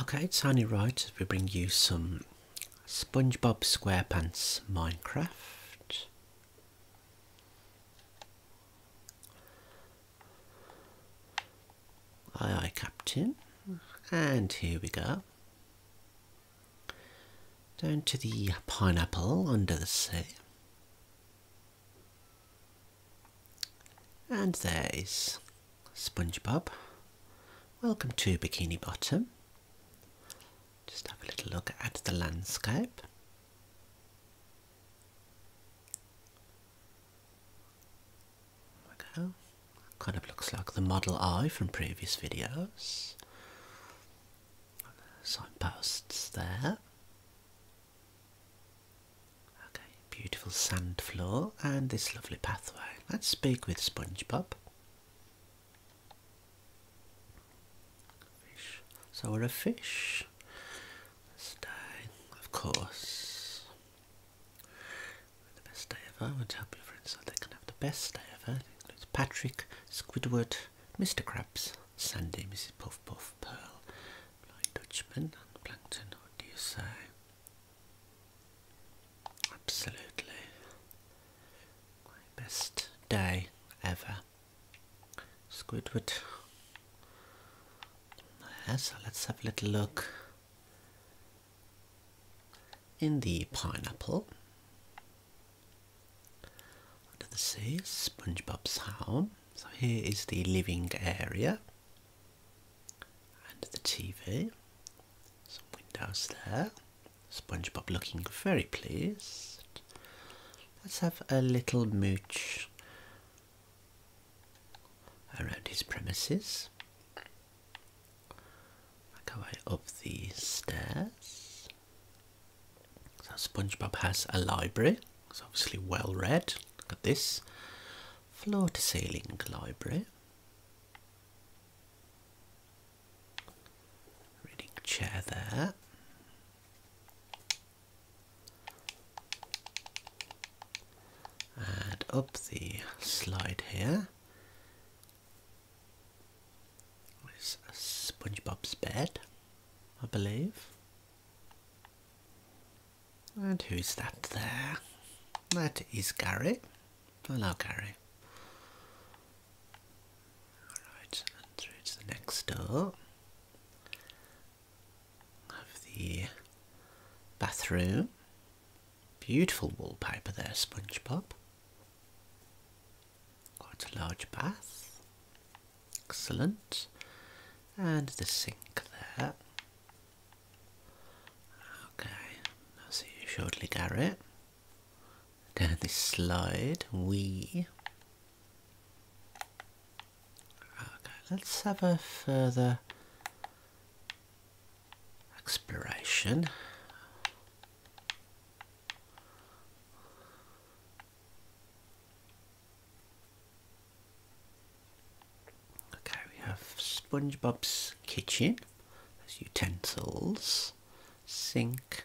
Okay, it's only right we bring you some SpongeBob SquarePants Minecraft. Aye aye, Captain. And here we go. Down to the pineapple under the sea. And there is SpongeBob. Welcome to Bikini Bottom. Just have a little look at the landscape. There Kind of looks like the model I from previous videos. Signposts there. Okay, beautiful sand floor and this lovely pathway. Let's speak with SpongeBob. Fish. So we're a fish. Stay, of course. The best day ever. I would help your friends so they can have the best day ever. includes Patrick, Squidward, Mr. Krabs, Sandy, Mrs. Puff Puff, Pearl, Lloyd, Dutchman, and Plankton. What do you say? Absolutely. My best day ever. Squidward. so let's have a little look in the pineapple. Under the sea, SpongeBob's home. So here is the living area. Under the TV. Some windows there. SpongeBob looking very pleased. Let's have a little mooch around his premises. Make our way up these stairs. So SpongeBob has a library. It's obviously well read. Look at this floor to ceiling library. Reading chair there. And up the slide here is SpongeBob's bed, I believe. And who's that there? That is Gary. Hello, Gary. Alright, and through to the next door. Have the bathroom. Beautiful wallpaper there, SpongeBob. Quite a large bath. Excellent. And the sink there. Okay, I'll see you shortly, Garrett. Down this slide, we. Okay, let's have a further exploration. Okay, we have SpongeBob's kitchen. There's utensils, sink.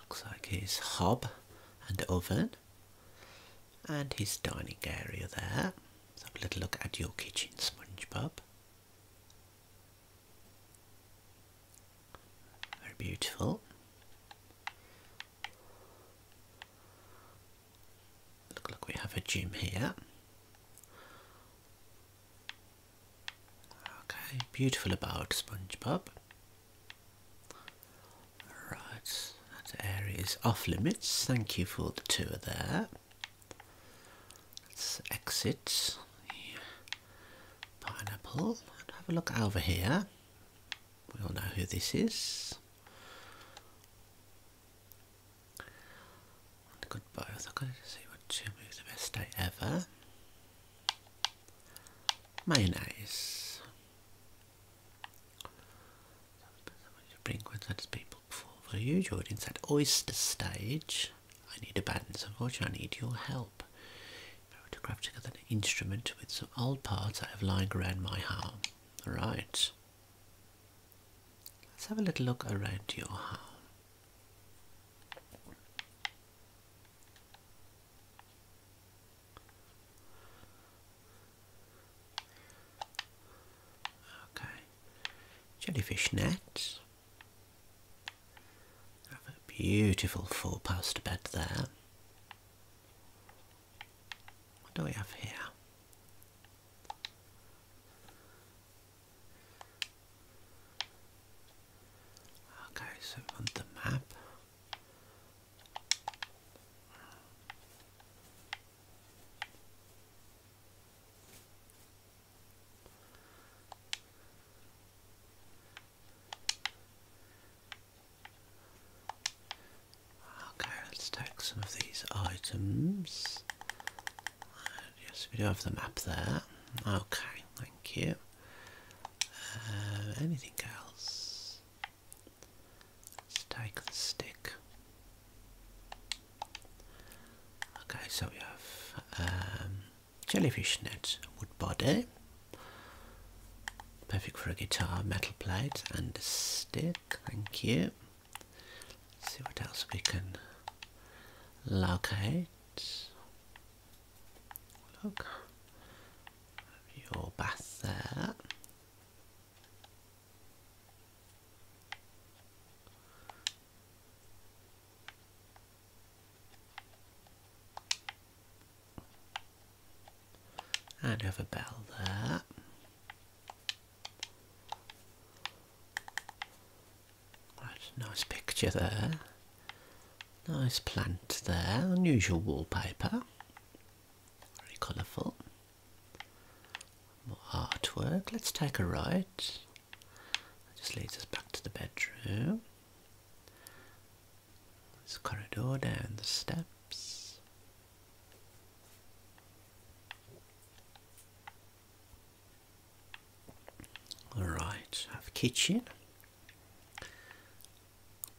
Looks like his hob and oven, and his dining area there. let have a little look at your kitchen, SpongeBob. Very beautiful. Look like we have a gym here. Okay, beautiful about SpongeBob. Right, that area is off limits. Thank you for the tour there. Let's exit the pineapple and have a look over here. We all know who this is. On I'm going to see what two moves the best day ever. Mayonnaise. I'm going to bring Queensland's people before for you. You're inside oyster stage. I need a band, so unfortunately I need your help. In order to craft together an instrument with some old parts I have lying around my home. All right. Let's have a little look around your home. Okay, jellyfish nets. Have a beautiful four-poster bed there. What do we have here? Okay, so on the map. Okay, let's take some of these items. Uh, yes, we do have the map there. Okay, thank you. Uh, anything else? Let's take the stick. Okay, so we have um, jellyfish net, wood body, perfect for a guitar, metal plate, and the stick thank you. see what else we can locate. Look, your bath there. And have a bell there. nice picture there. Nice plant there. Unusual wallpaper. Very colourful. More artwork. Let's take a right. That just leads us back to the bedroom. This corridor down the steps. All right, have kitchen,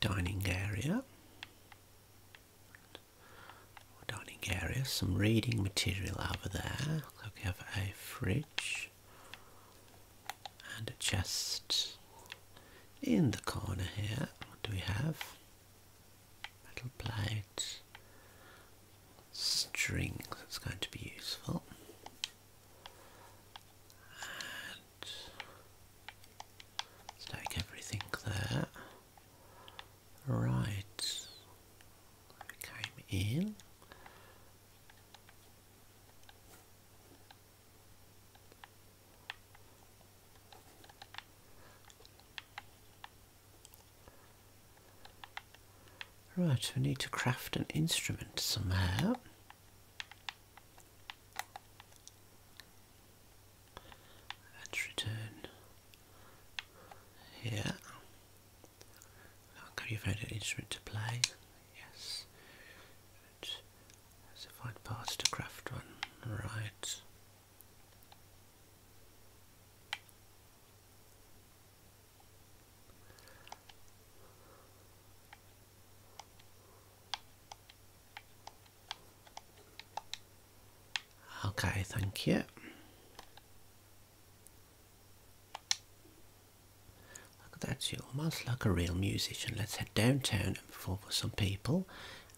dining area, dining area, some reading material over there. we have a fridge and a chest in the corner here. What do we have? metal plate, string that's going to be useful, and stack everything there. Right, came in. Right, we need to craft an instrument somehow. Let's return here. Look, have you found an instrument to play? Yes. Let's find parts to craft one. Right. Okay, thank you. Look at that, you're almost like a real musician. Let's head downtown and perform for some people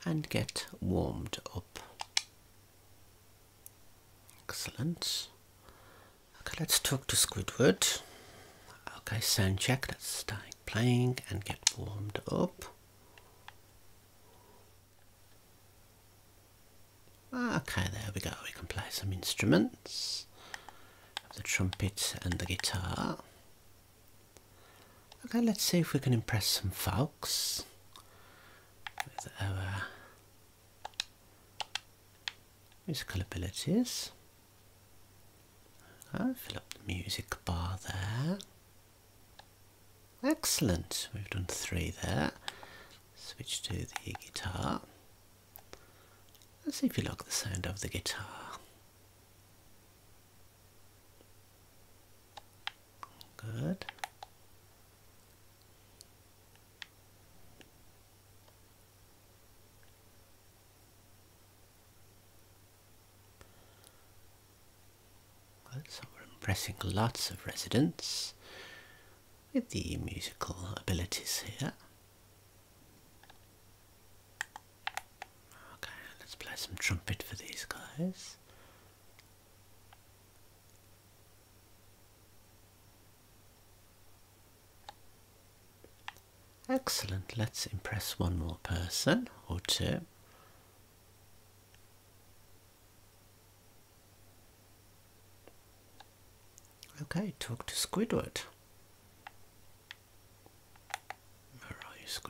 and get warmed up. Excellent. Okay, let's talk to Squidward. Okay, sound check. Let's start playing and get warmed up. Okay, there we go. We can play some instruments. The trumpet and the guitar. Okay, let's see if we can impress some folks with our musical abilities. fill up the music bar there. Excellent, we've done three there. Switch to the guitar. Let's see if you like the sound of the guitar. Good. so we're impressing lots of residents with the musical abilities here. Okay, let's play some trumpet for these guys. Excellent, let's impress one more person or two. Okay, talk to Squidward. Where are you,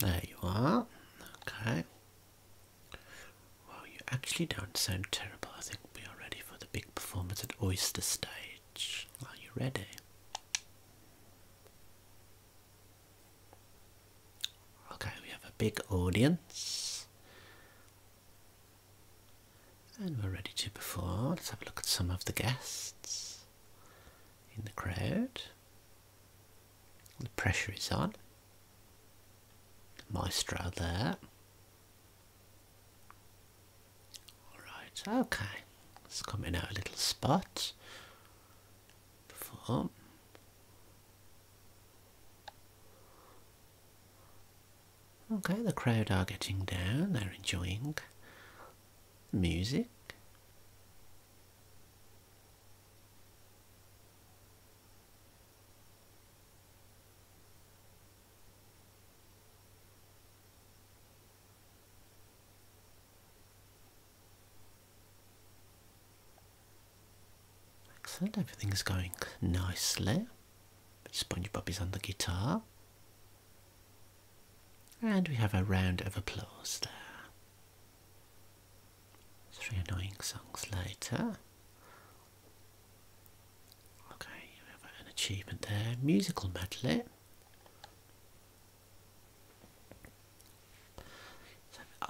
There you are. Okay. Well, you actually don't sound terrible. I think we are ready for the big performance at Oyster Stage. Are you ready? Okay, we have a big audience. And we're ready to perform. Let's have a look at some of the guests in the crowd. The pressure is on. maestro there. Alright, okay. Let's come in our little spot. Perform. Okay, the crowd are getting down, they're enjoying music. Excellent, everything's going nicely. SpongeBob is on the guitar. And we have a round of applause there. Three annoying songs later. Okay, we have an achievement there. Musical medley.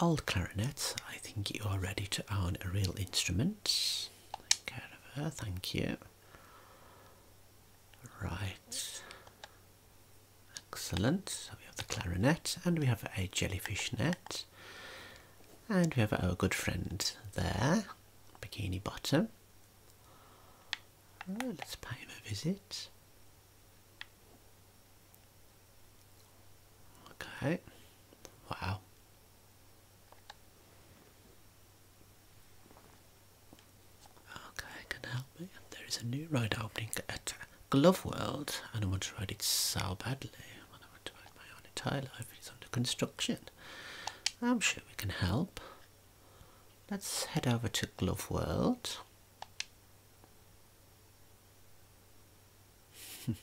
old clarinet, I think you are ready to own a real instrument. Take care of her, thank you. Right. Excellent. So we have the clarinet and we have a jellyfish net. And we have our good friend there, Bikini Bottom. Oh, let's pay him a visit. Okay. Wow. Okay, can help me. There is a new ride opening at Glove World, and I want to ride it so badly. I want to ride my own entire life. It's under construction. I'm sure we can help. Let's head over to Glove World.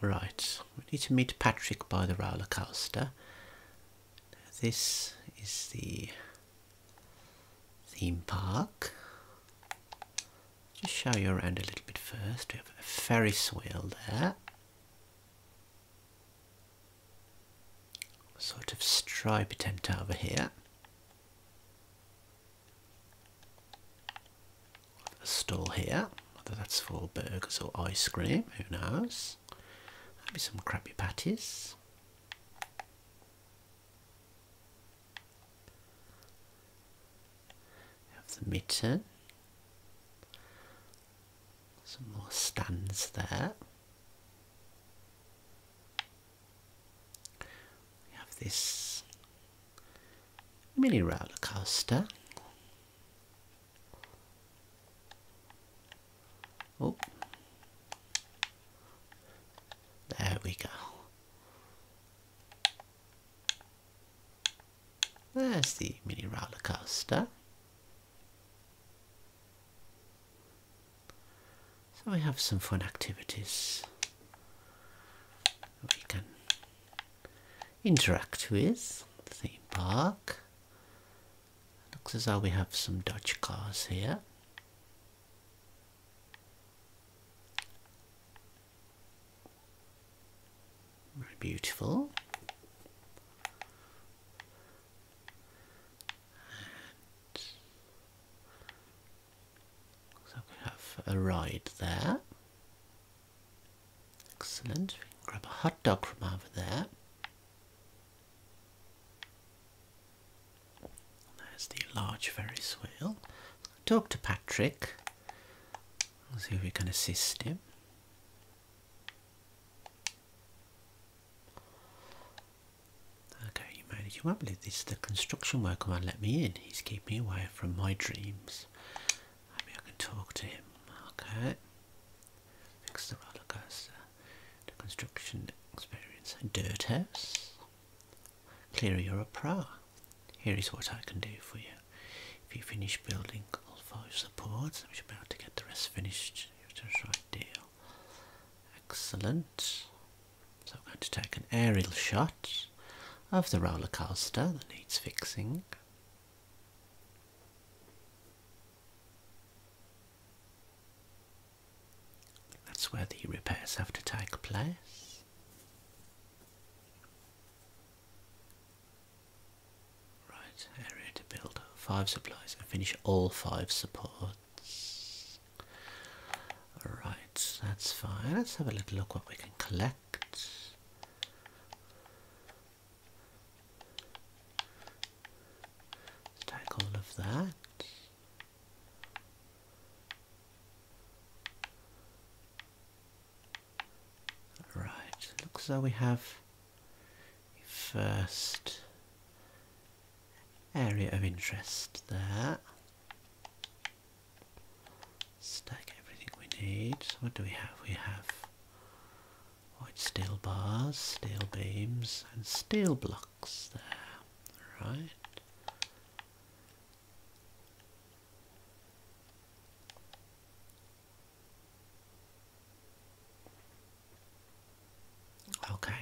right, we need to meet Patrick by the roller coaster this is the theme park. Just show you around a little bit first. We have a ferris wheel there. Sort of stripe tent over here. A stall here, whether that's for burgers or ice cream, who knows. Maybe some Krabby Patties. Have the mitten. Some more stands there. We have this mini roller coaster Oh. There we go. There's the mini roller coaster. So we have some fun activities we can interact with the theme park. Looks as though we have some Dutch cars here. Very beautiful. And so we have a ride there. Excellent. We can grab a hot dog from over there. There's the large Ferris wheel. Talk to Patrick. We'll see if we can assist him. Okay, you managed won't believe this. The construction worker won't let me in. He's keeping me away from my dreams. Maybe I can talk to him. Okay. Next the roller coaster, the construction experience, dirt house. Clearly you're a pro. Here is what I can do for you. If you finish building all five supports, we should be able to get the rest finished. You're right deal. Excellent. So I'm going to take an aerial shot of the roller coaster that needs fixing. That's where the repairs have to take place. Right, area to build five supplies and finish all five supports. Right, that's fine. Let's have a little look what we can collect. Stack all of that. Right, looks like we have first area of interest there. Stack everything we need. What do we have? We have white steel bars, steel beams, and steel blocks there, right? Okay.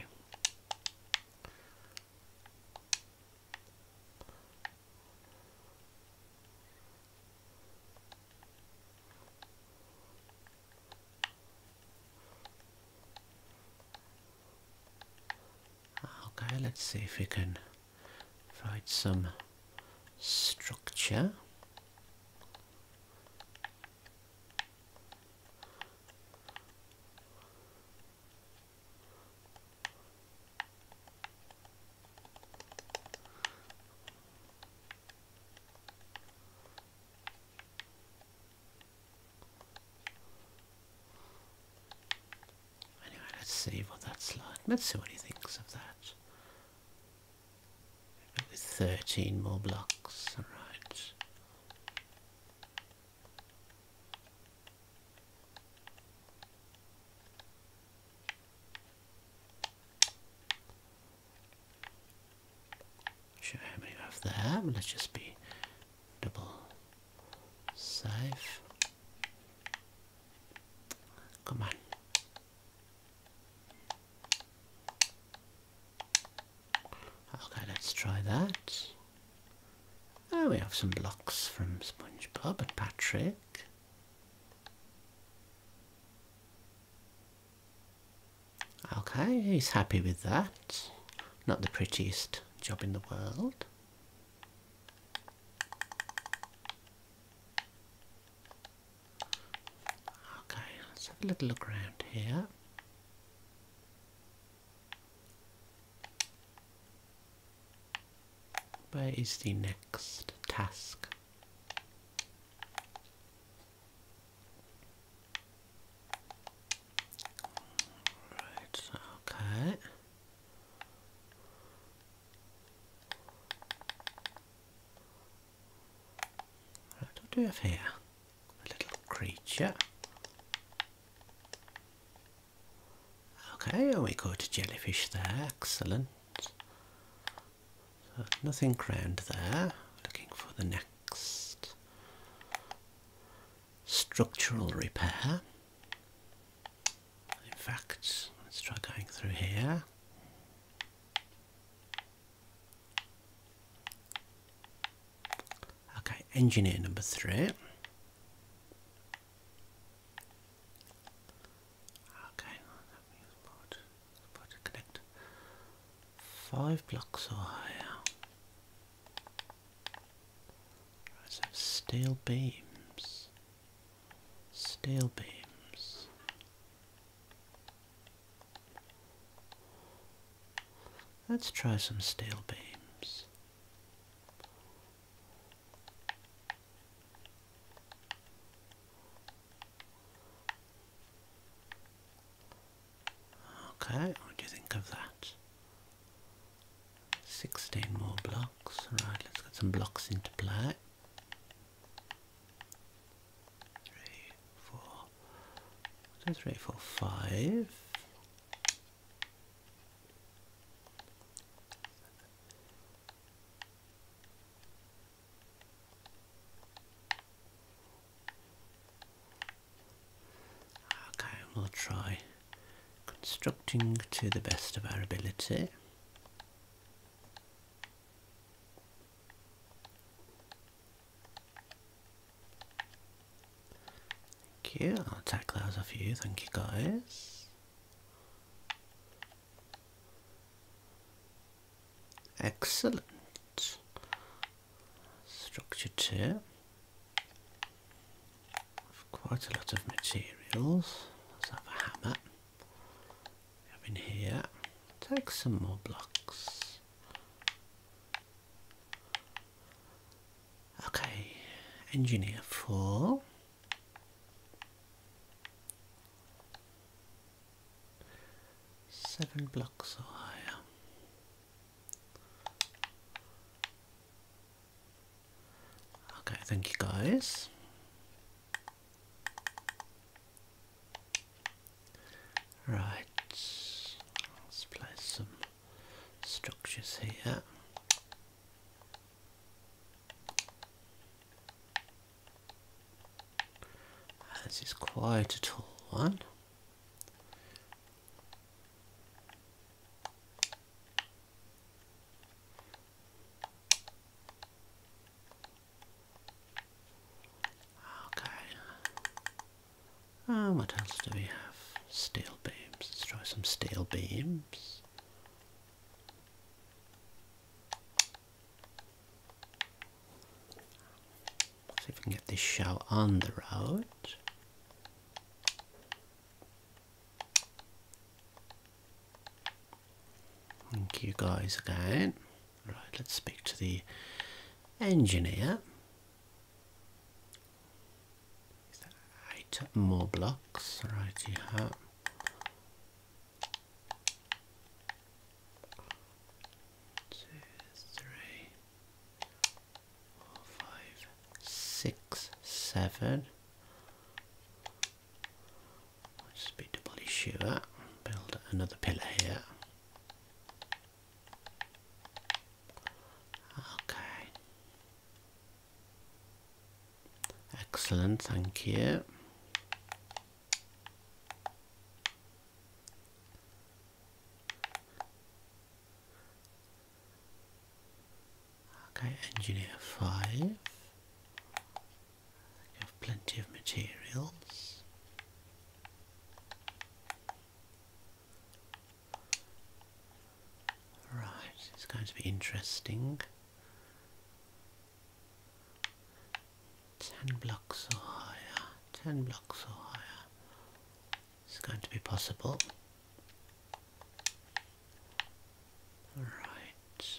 Ah, okay, let's see if we can find some structure. Anyway, let's save on that slide. Let's see what he thinks of that. With 13 more blocks, alright. Sure, how many we Let's just be double safe. Come on. Okay, let's try that. Oh, we have some blocks from SpongeBob and Patrick. Okay, he's happy with that. Not the prettiest job in the world. Okay, let's have a little look around here. Where is the next task? Right, okay. Right, what do we have here? A little creature. Okay, we got a jellyfish there, excellent nothing crowned there. Looking for the next structural repair. In fact, let's try going through here. Okay, engineer number three. Okay, well, that means part, to connect five blocks or higher. Right, so steel beams. Steel beams. Let's try some steel beams. Okay, what do you think of that? 16 more blocks. Right, let's get some blocks into play. Three, Okay, we'll try constructing to the best of our ability. Thank you, I'll attack those off you, thank you guys. Excellent. Structure 2. Quite a lot of materials. Let's have a hammer. We have in here. Take some more blocks. Okay, engineer 4. Seven blocks or higher. Okay, thank you guys. Right, let's place some structures here. This is quite a tall one. Okay. Um, what else do we have? Steel beams. Let's try some steel beams see if we can get this shell on the road. Thank you guys again. Right, let's speak to the engineer. eight more blocks? Right, you two, three, just be doubly sure. Build another pillar here. Okay. Excellent, thank you. Okay, engineer five. You have plenty of materials. Right, it's going to be interesting. 10 blocks or higher, 10 blocks or higher. It's going to be possible. Alright.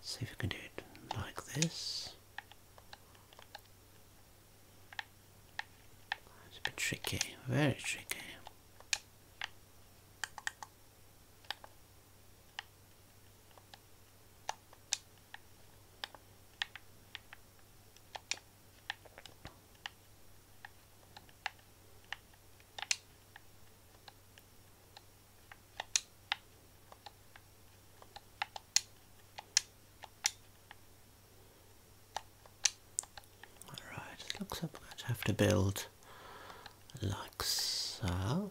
See if we can do it like this. It's a bit tricky, very tricky. Alright, it looks like I might have to build like so.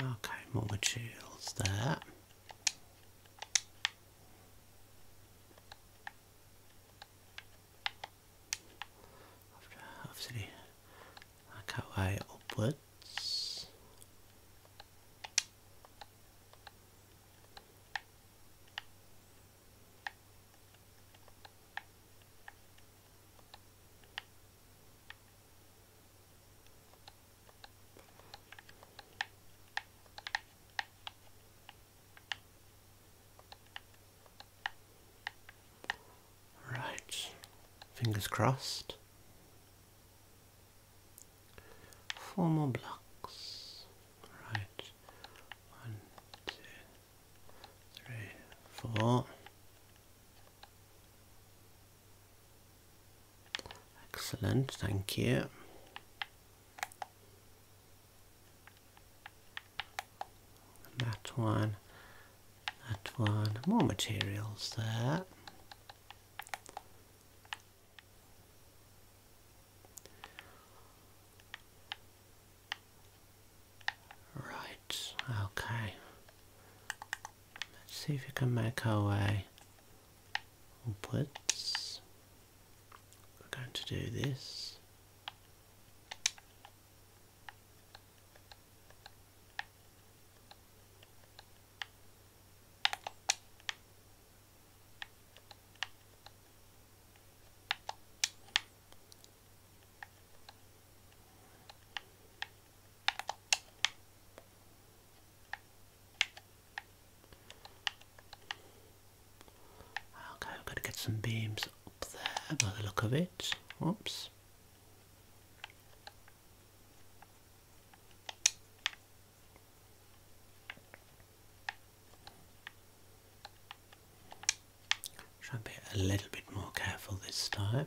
Okay, more materials there. Obviously, cut way upwards. Right, fingers crossed four more blocks. Right, one, two, three, four. Excellent, thank you. That one, that one, more materials there. Right, okay. Let's see if we can make our way upwards. We're going to do this. Okay, I've got to get some beams up there by the look of it. Whoops. Try and be a little bit more careful this time.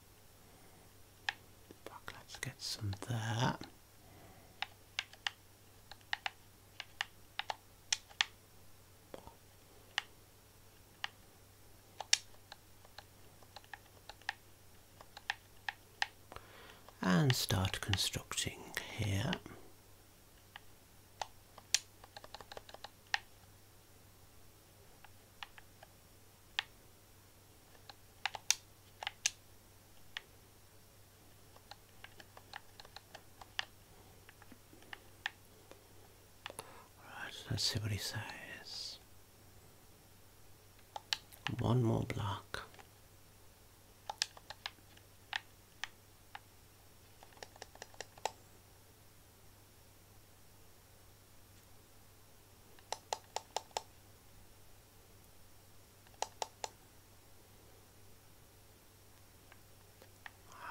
let's get some there. And start constructing here. Right, let's see what he says. One more block.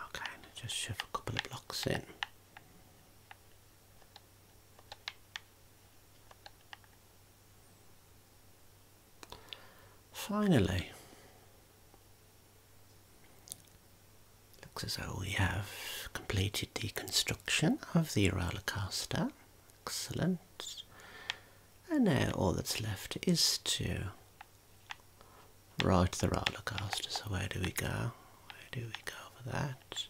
Okay, just shove a couple of blocks in. Finally, looks as though we have completed the construction of the roller coaster. Excellent. And now all that's left is to ride the roller coaster. So where do we go? Where do we go for that?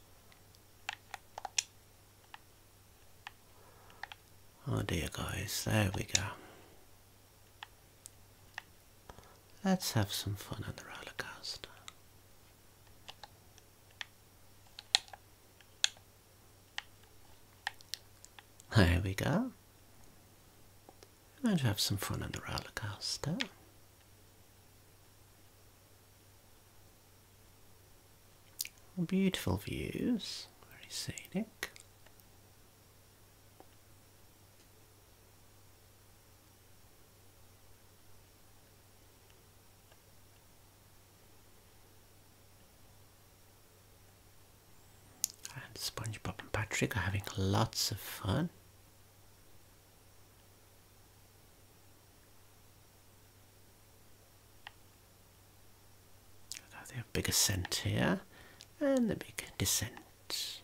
Oh dear guys, there we go. Let's have some fun on the roller coaster. There we go. We're have some fun on the roller coaster. Beautiful views, very scenic. And SpongeBob and Patrick are having lots of fun. Now they have a big ascent here and a big descent.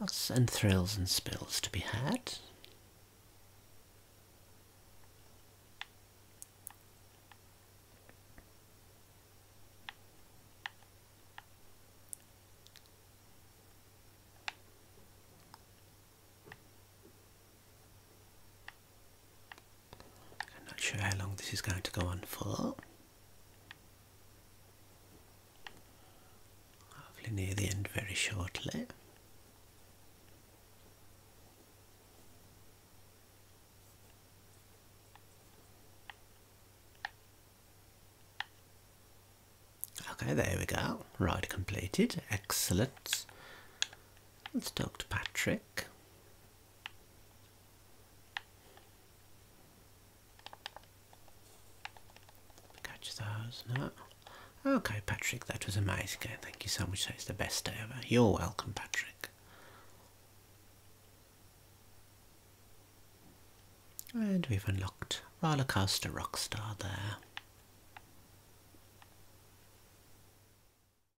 Lots and thrills and spills to be had. I'm not sure how long this is going to go on for. Hopefully near the end very shortly. Okay, there we go. Ride completed. Excellent. Let's talk to Patrick. Catch those, no. Okay, Patrick, that was amazing. Thank you so much. That is the best day ever. You're welcome, Patrick. And we've unlocked Roller Coaster Rockstar there.